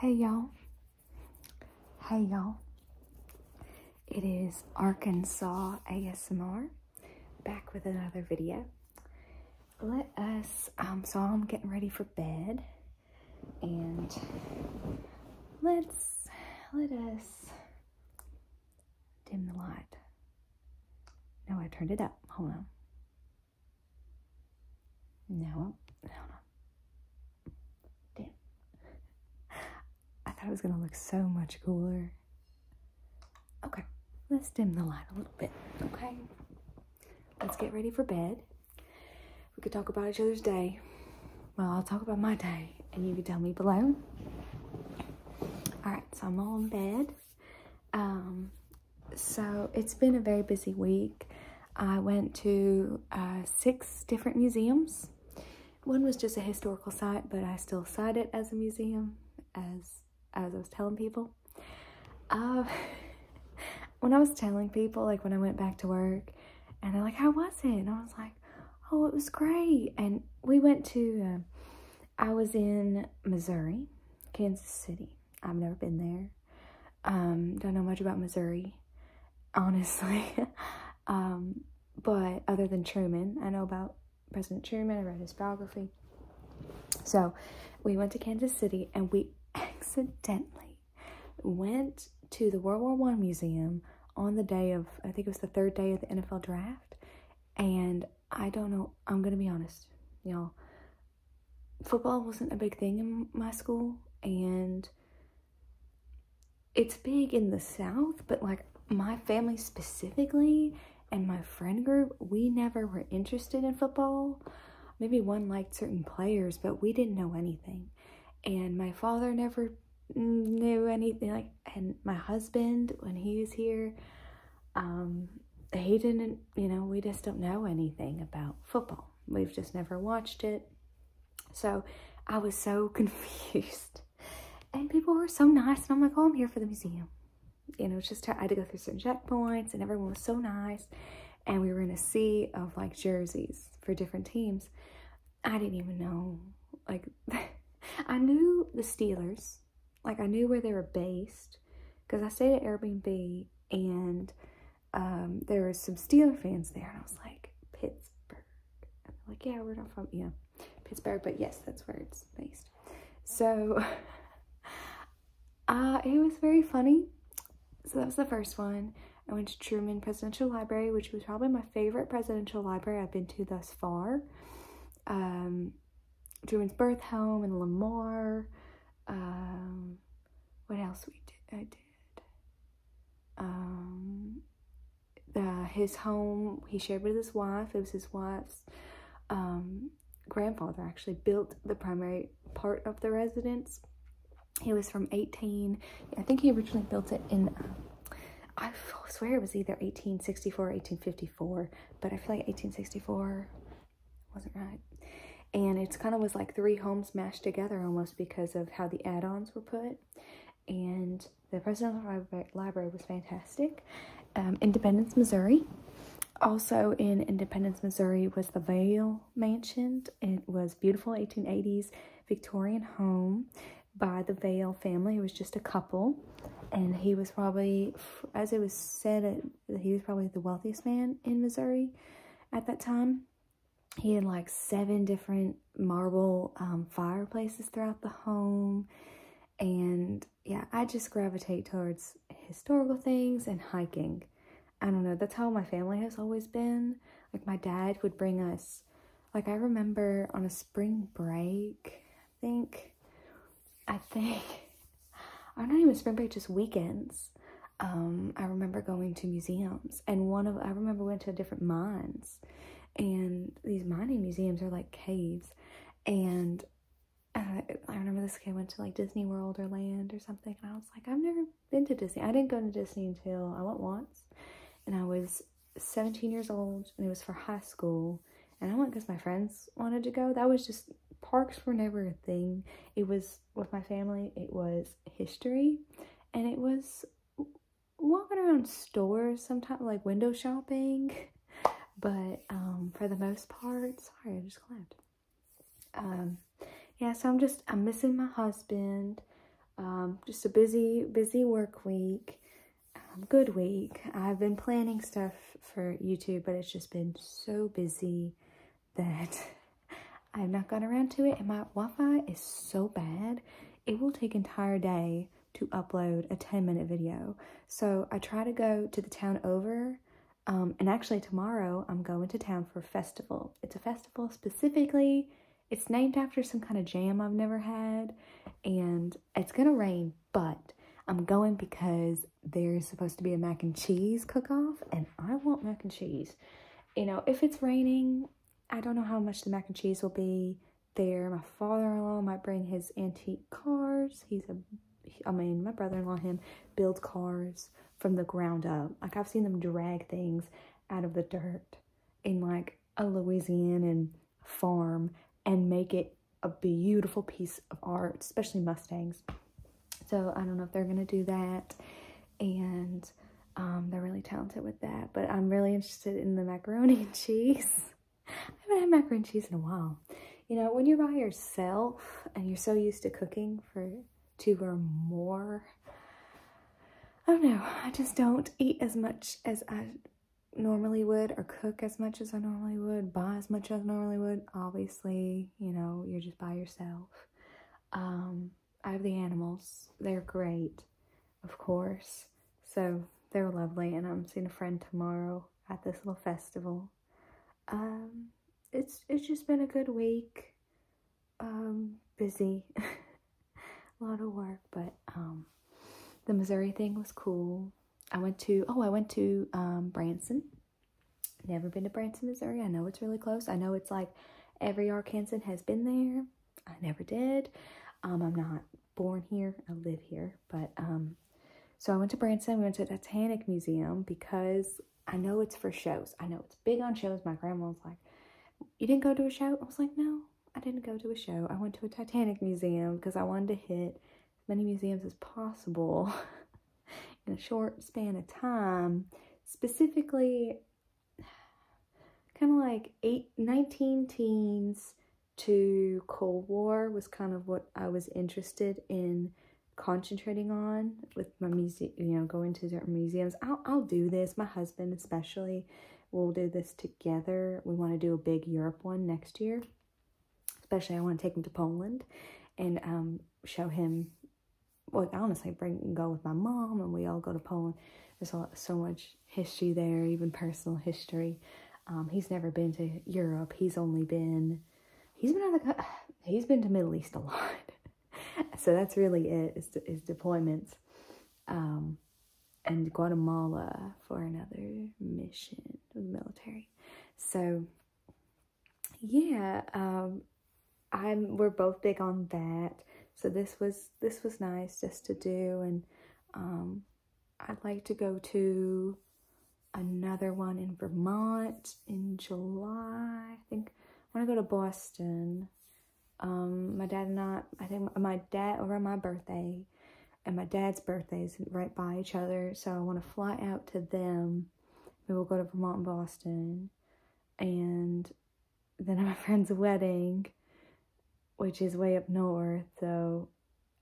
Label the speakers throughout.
Speaker 1: Hey y'all. Hey y'all. It is Arkansas ASMR back with another video. Let us, um, so I'm getting ready for bed and let's, let us dim the light. No, I turned it up. Hold on. No, no, no. I thought it was gonna look so much cooler. Okay, let's dim the light a little bit, okay? Let's get ready for bed. We could talk about each other's day. Well, I'll talk about my day, and you can tell me below. All right, so I'm all in bed. Um, so it's been a very busy week. I went to uh, six different museums. One was just a historical site, but I still cite it as a museum, as as I was telling people. Uh, when I was telling people, like when I went back to work, and they're like, "How was it?" and I was like, "Oh, it was great." And we went to. Uh, I was in Missouri, Kansas City, I've never been there. Um, don't know much about Missouri, honestly. Um, but other than Truman, I know about President Truman. I read his biography. So we went to Kansas City and we accidentally went to the World War One Museum on the day of, I think it was the third day of the NFL draft. And I don't know, I'm going to be honest, y'all football wasn't a big thing in my school and it's big in the south but like my family specifically and my friend group we never were interested in football maybe one liked certain players but we didn't know anything and my father never knew anything like and my husband when he was here um, he didn't, you know, we just don't know anything about football. We've just never watched it. So I was so confused. And people were so nice. And I'm like, oh, I'm here for the museum. You know, just I had to go through some checkpoints and everyone was so nice. And we were in a sea of like jerseys for different teams. I didn't even know. Like, I knew the Steelers. Like, I knew where they were based because I stayed at Airbnb and um, there was some Steeler fans there, and I was like, Pittsburgh. like, yeah, we're not from, yeah, Pittsburgh, but yes, that's where it's based. So uh, it was very funny. So that was the first one. I went to Truman Presidential Library, which was probably my favorite presidential library I've been to thus far. Um, Truman's birth home in Lamar, um, what else we did? I did. Um, the, his home he shared with his wife. It was his wife's um, grandfather actually built the primary part of the residence. He was from 18. I think he originally built it in. I swear it was either 1864 or 1854, but I feel like 1864 wasn't right. And it's kind of was like three homes mashed together almost because of how the add-ons were put. And the Presidential Library, library was fantastic. Um, Independence, Missouri. Also in Independence, Missouri was the Vale Mansion. It was beautiful 1880s Victorian home by the Vale family. It was just a couple. And he was probably, as it was said, he was probably the wealthiest man in Missouri at that time. He had like seven different marble um, fireplaces throughout the home. And yeah, I just gravitate towards historical things and hiking. I don't know, that's how my family has always been. Like my dad would bring us, like I remember on a spring break, I think, I think I do not even spring break, just weekends. Um, I remember going to museums, and one of I remember went to a different mines, and these mining museums are like caves, and uh, I remember this kid went to like Disney World or Land or something, and I was like, I've never been to Disney. I didn't go to Disney until I went once, and I was 17 years old, and it was for high school, and I went because my friends wanted to go. That was just parks were never a thing. It was with my family, it was history, and it was walking around stores sometimes, like window shopping. But um, for the most part, sorry, I just clapped. Um, yeah, so I'm just, I'm missing my husband. Um, just a busy, busy work week. Um, good week. I've been planning stuff for YouTube, but it's just been so busy that I've not gotten around to it and my Wi-Fi is so bad. It will take entire day to upload a 10 minute video. So I try to go to the town over um, and actually tomorrow I'm going to town for a festival. It's a festival specifically, it's named after some kind of jam I've never had and it's gonna rain, but I'm going because there's supposed to be a mac and cheese cook-off and I want mac and cheese. You know, if it's raining, I don't know how much the mac and cheese will be there. My father-in-law might bring his antique cars. He's a, I mean, my brother-in-law, him, build cars from the ground up. Like, I've seen them drag things out of the dirt in, like, a Louisianan farm and make it a beautiful piece of art, especially Mustangs. So I don't know if they're going to do that. And um, they're really talented with that. But I'm really interested in the macaroni and cheese. I haven't had macaroni and cheese in a while. You know, when you're by yourself and you're so used to cooking for two or more, I don't know. I just don't eat as much as I normally would or cook as much as I normally would, buy as much as normally would. Obviously, you know, you're just by yourself. Um, I have the animals. They're great, of course. So they're lovely, and I'm seeing a friend tomorrow at this little festival. Um, it's it's just been a good week. Um, busy, a lot of work, but the Missouri thing was cool. I went to oh I went to Branson Never been to Branson, Missouri. I know it's really close. I know it's like every Arkansan has been there. I never did. Um, I'm not born here. I live here. But um, so I went to Branson. We went to the Titanic Museum because I know it's for shows. I know it's big on shows. My grandma was like, you didn't go to a show? I was like, no, I didn't go to a show. I went to a Titanic museum because I wanted to hit as many museums as possible. in a short span of time, specifically kind of like eight, 19 teens to Cold War was kind of what I was interested in concentrating on with my music. you know, going to certain museums. I'll, I'll do this, my husband especially, we'll do this together. We want to do a big Europe one next year. Especially I want to take him to Poland and um, show him well, I honestly bring go with my mom, and we all go to Poland. There's a so much history there, even personal history. Um, he's never been to Europe. He's only been he's been out he's been to Middle East a lot. so that's really it is, is deployments. Um, and Guatemala for another mission with the military. So yeah, um, I'm we're both big on that. So this was this was nice just to do, and um, I'd like to go to another one in Vermont in July. I think I want to go to Boston. Um, my dad and I, I think my dad over my birthday and my dad's birthday is right by each other. So I want to fly out to them. we'll go to Vermont and Boston and then I'm at my friend's wedding, which is way up north, so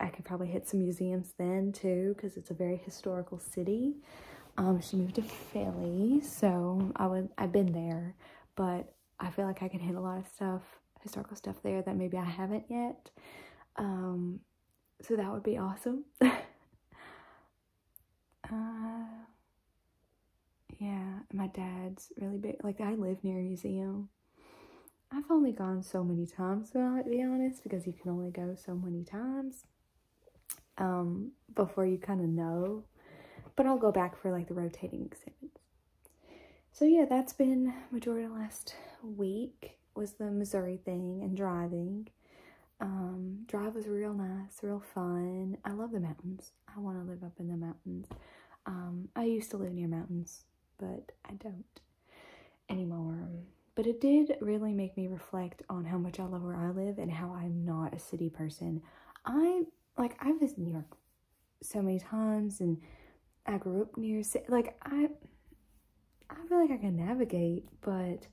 Speaker 1: I could probably hit some museums then too, because it's a very historical city. Um, she moved to Philly, so I would I've been there, but I feel like I could hit a lot of stuff, historical stuff there that maybe I haven't yet. Um, so that would be awesome. Uh, yeah, my dad's really big. Like, I live near a museum. I've only gone so many times, to be honest, because you can only go so many times um, before you kind of know. But I'll go back for like the rotating exhibits. So yeah, that's been majority of last week was the Missouri thing and driving. Um, drive was real nice, real fun. I love the mountains. I want to live up in the mountains. Um, I used to live near mountains, but I don't anymore. But it did really make me reflect on how much I love where I live and how I'm not a city person. I, like, I've visited New York so many times and I grew up near, like, I, I feel like I can navigate, but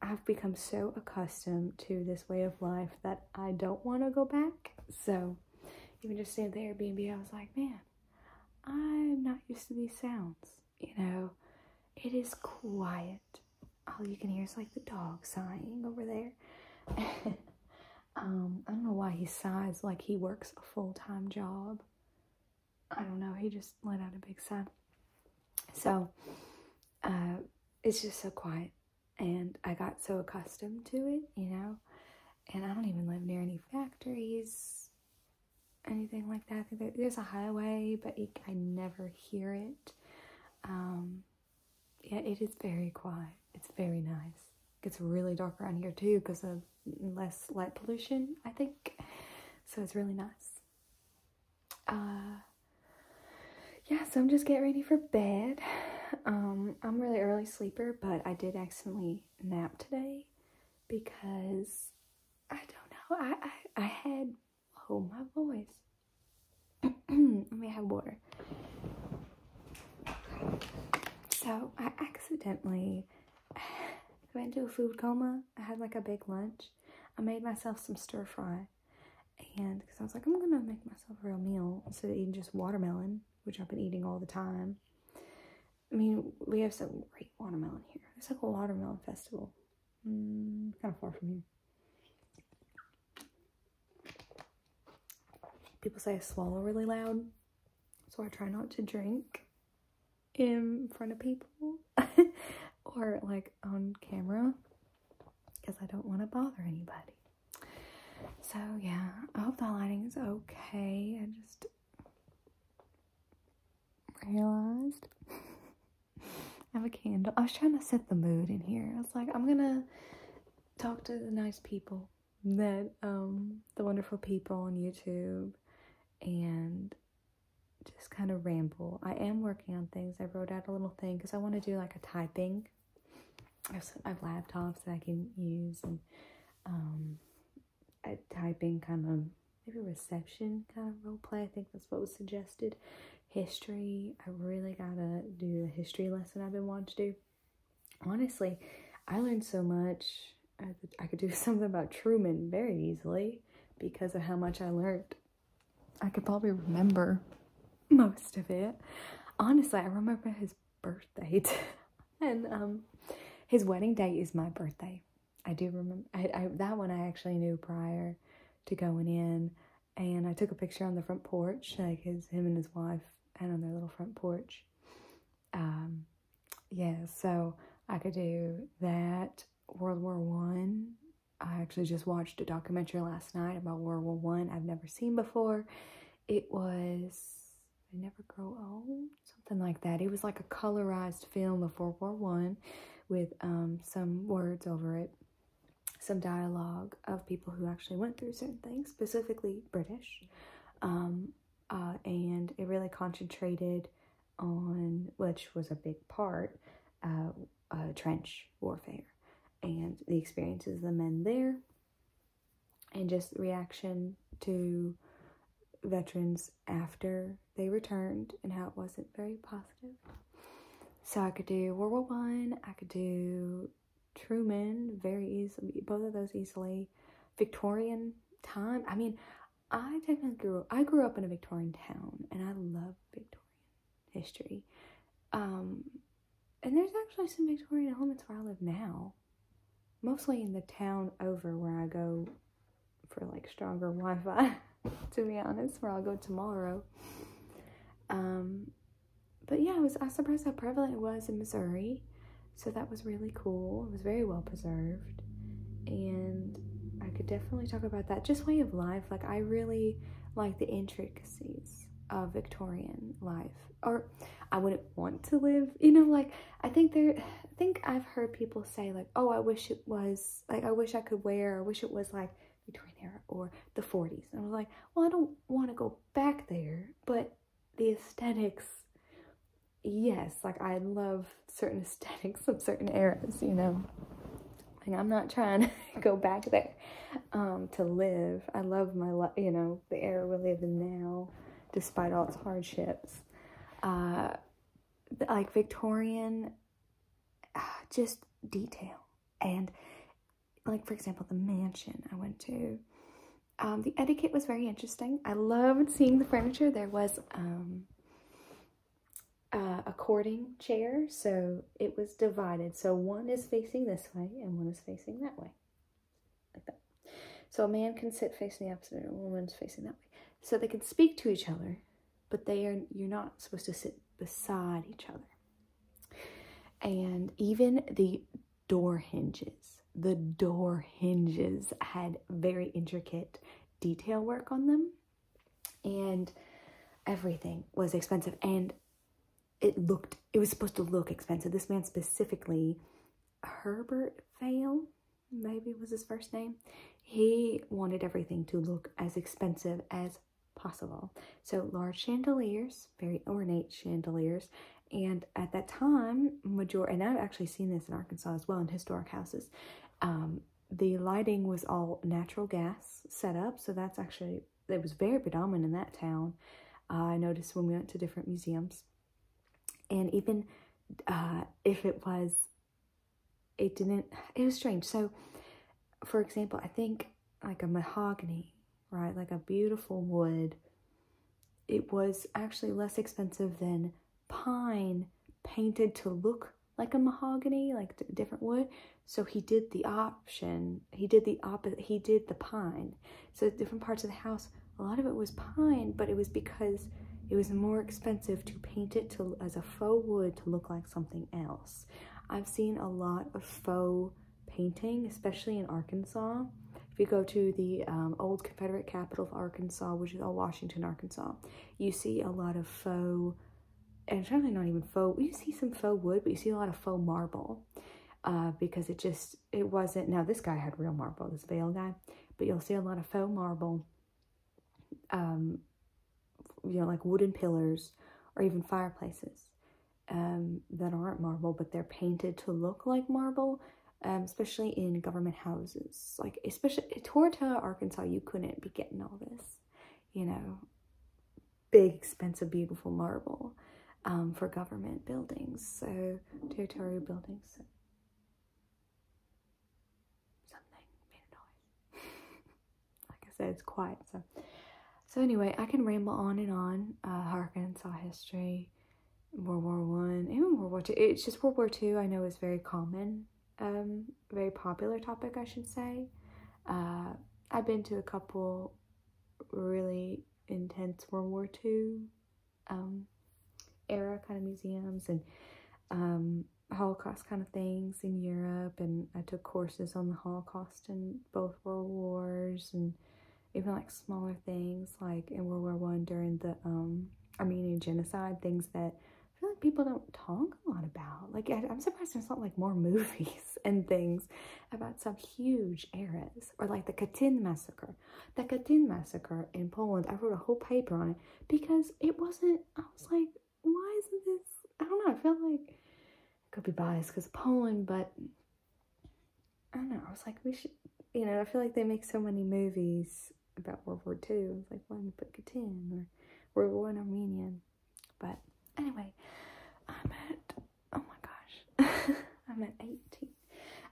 Speaker 1: I've become so accustomed to this way of life that I don't want to go back. So even just staying at the Airbnb, I was like, man, I'm not used to these sounds. You know, it is quiet. All you can hear is like the dog sighing over there. um, I don't know why he sighs like he works a full-time job. I don't know. He just let out a big sigh. So, uh, it's just so quiet. And I got so accustomed to it, you know. And I don't even live near any factories, anything like that. there's a highway, but I never hear it. Um, yeah, it is very quiet. It's very nice. It gets really dark around here too because of less light pollution, I think. So it's really nice. Uh, yeah, so I'm just getting ready for bed. Um, I'm really early sleeper, but I did accidentally nap today because I don't know. I, I, had, oh, my voice. Let me have water. So I accidentally went into a food coma. I had like a big lunch. I made myself some stir fry and because I was like, I'm gonna make myself a real meal instead of eating just watermelon, which I've been eating all the time. I mean, we have some great watermelon here. It's like a watermelon festival. Mm, kind of far from here. People say I swallow really loud, so I try not to drink in front of people or like on camera because I don't want to bother anybody. So yeah, I hope the lighting is okay. I just realized I have a candle. I was trying to set the mood in here. I was like, I'm gonna talk to the nice people that um the wonderful people on YouTube and just kind of ramble. I am working on things. I wrote out a little thing because I want to do like a typing. I have laptops that I can use and um, a typing kind of maybe reception kind of role play. I think that's what was suggested. History. I really gotta do the history lesson I've been wanting to do. Honestly, I learned so much. I could do something about Truman very easily because of how much I learned I could probably remember most of it. Honestly, I remember his birthday. and um, his wedding day is my birthday. I do remember that one I actually knew prior to going in. And I took a picture on the front porch, like his, him and his wife, and on their little front porch. Um, yeah, so I could do that World War One I actually just watched a documentary last night about World War One I've never seen before. It was I Never Grow Old, something like that. It was like a colorized film of World War One with um, some words over it, some dialogue of people who actually went through certain things, specifically British. Um, uh, and it really concentrated on, which was a big part, uh, uh, trench warfare and the experiences of the men there and just reaction to veterans after they returned and how it wasn't very positive. So I could do World War One, I, I could do Truman very easily, both of those easily. Victorian time. I mean, I technically I grew up in a Victorian town and I love Victorian history. Um, and there's actually some Victorian elements where I live now, mostly in the town over where I go for like stronger Wi Fi, to be honest, where I'll go tomorrow. Um, but yeah, I was I surprised how prevalent it was in Missouri, so that was really cool. It was very well preserved, and I could definitely talk about that. Just way of life, like I really like the intric of Victorian life. Or I wouldn't want to live, you know, like I think there I think I've heard people say like, oh I wish it was like I wish I could wear, I wish it was like Victorian era or the 40s. And I am like, well I don't want to go back there, but the aesthetics yes, like I love certain aesthetics of certain eras, you know and I'm not trying to go back there um, to live. I love my, life, you know, the air we live in now, despite all its hardships. Uh, like Victorian, ah, just detail. And like, for example, the mansion I went to, um, the etiquette was very interesting. I loved seeing the furniture. There was um, uh, a cording chair, so it was divided. So one is facing this way and one is facing that way, So a man can sit facing the opposite, and a woman's facing that way. So they can speak to each other, but they are you're not supposed to sit beside each other. And even the door hinges, the door hinges had very intricate detail work on them, and everything was expensive. And it looked, it was supposed to look expensive. This man specifically, Herbert Fail, maybe was his first name. He wanted everything to look as expensive as possible. So large chandeliers, very ornate chandeliers. And at that time, major and I've actually seen this in Arkansas as well in historic houses. Um, the lighting was all natural gas set up, so that's actually it was very predominant in that town. I noticed when we went to different museums. And even uh, if it was, it didn't, it was strange. So, for example, I think like a mahogany, right? Like a beautiful wood. It was actually less expensive than pine painted to look like a mahogany, like different wood, so he did the option, he did the opposite, he did the pine. So different parts of the house, a lot of it was pine, but it was because it was more expensive to paint it as a faux wood to look like something else. I've seen a lot of faux painting, especially in Arkansas. If you go to the um, old Confederate capital of Arkansas, which is all Washington, Arkansas, you see a lot of faux and it's not even faux. You see some faux wood, but you see a lot of faux marble uh, because it just, it wasn't. Now, this guy had real marble, this veil guy, but you'll see a lot of faux marble, um, you know, like wooden pillars or even fireplaces um, that aren't marble, but they're painted to look like marble, um, especially in government houses. Like, especially in Tortola, Arkansas, you couldn't be getting all this, you know, big, expensive, beautiful marble um, for government buildings, so territorial buildings. Something like I said, it's quiet. So, so anyway, I can ramble on and on. Uh, Arkansas history, World War One, even World War Two. It's just World War Two. I know is very common, um, very popular topic, I should say. Uh, I've been to a couple really intense World War II um, era kind of museums and um, Holocaust kind of things in Europe. And I took courses on the Holocaust and both World Wars and even like smaller things like in World War One during the um, Armenian genocide, things that I feel like people don't talk a lot about. Like I, am surprised there's not like more movies and things about some huge eras, or like the Katyn massacre. The Katyn massacre in Poland, I wrote a whole paper on it because it wasn't, I was like, why isn't this, I don't know, I feel like I could be biased because Poland, but I don't know, I was like, we should, you know, I feel like they make so many movies about World War II. It's like, why don't you put Katyn or World War One Armenian? But anyway, I'm at oh my gosh, I'm at 18.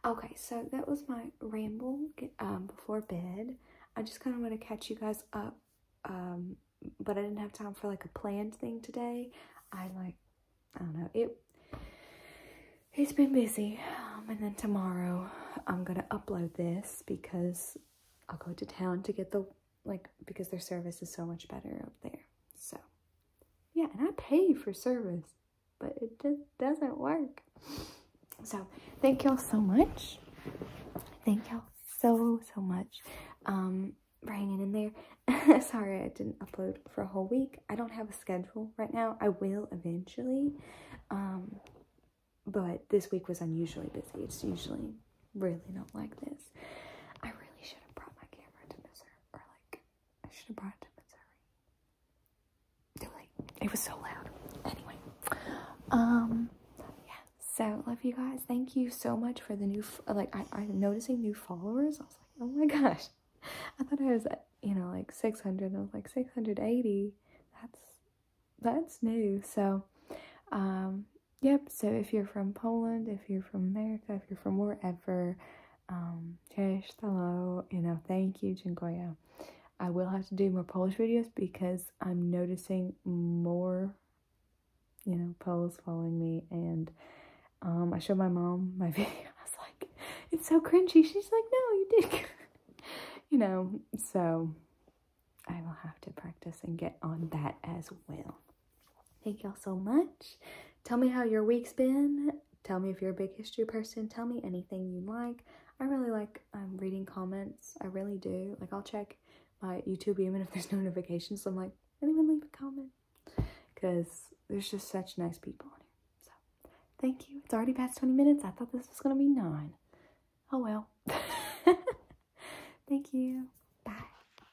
Speaker 1: Okay, so that was my ramble um, before bed. I just kind of want to catch you guys up, um, but I didn't have time for like a planned thing today. I like, I don't know, it it's been busy. Um, and then tomorrow I'm gonna upload this because I'll go to town to get the like because their service is so much better up there. So yeah, and I pay for service, but it just doesn't work. So thank y'all so much. Thank y'all so so much um, bringing in there. Sorry I didn't upload for a whole week. I don't have a schedule right now. I will eventually. Um, but this week was unusually busy. It's usually really don't like this. I really should have brought my camera to Missouri, or like, I should have brought it to Missouri. Too It was so loud. Anyway, um, yeah. So love you guys. Thank you so much for the new. Like, I i noticing new followers. I was like, oh my gosh. I thought I was, you know, like 600. I was like 680. That's that's new. So, um, yep, so if you're from Poland, if you're from America, if you're from wherever, um, cześć, hello, you know, thank you, dziękuję. I will have to do more Polish videos because I'm noticing more, you know, Poles following me. And um, I showed my mom my video. I was like, it's so cringy. She's like, no, you did. you know, so I will have to practice and get on that as well. Thank y'all so much. Tell me how your week's been. Tell me if you're a big history person. Tell me anything you like. I really like I'm um, reading comments. I really do. Like, I'll check my YouTube even if there's no notifications. I'm like, anyone leave a comment? Because there's just such nice people here. So, thank you. It's already past 20 minutes. I thought this was going to be nine. Oh, well. thank you. Bye.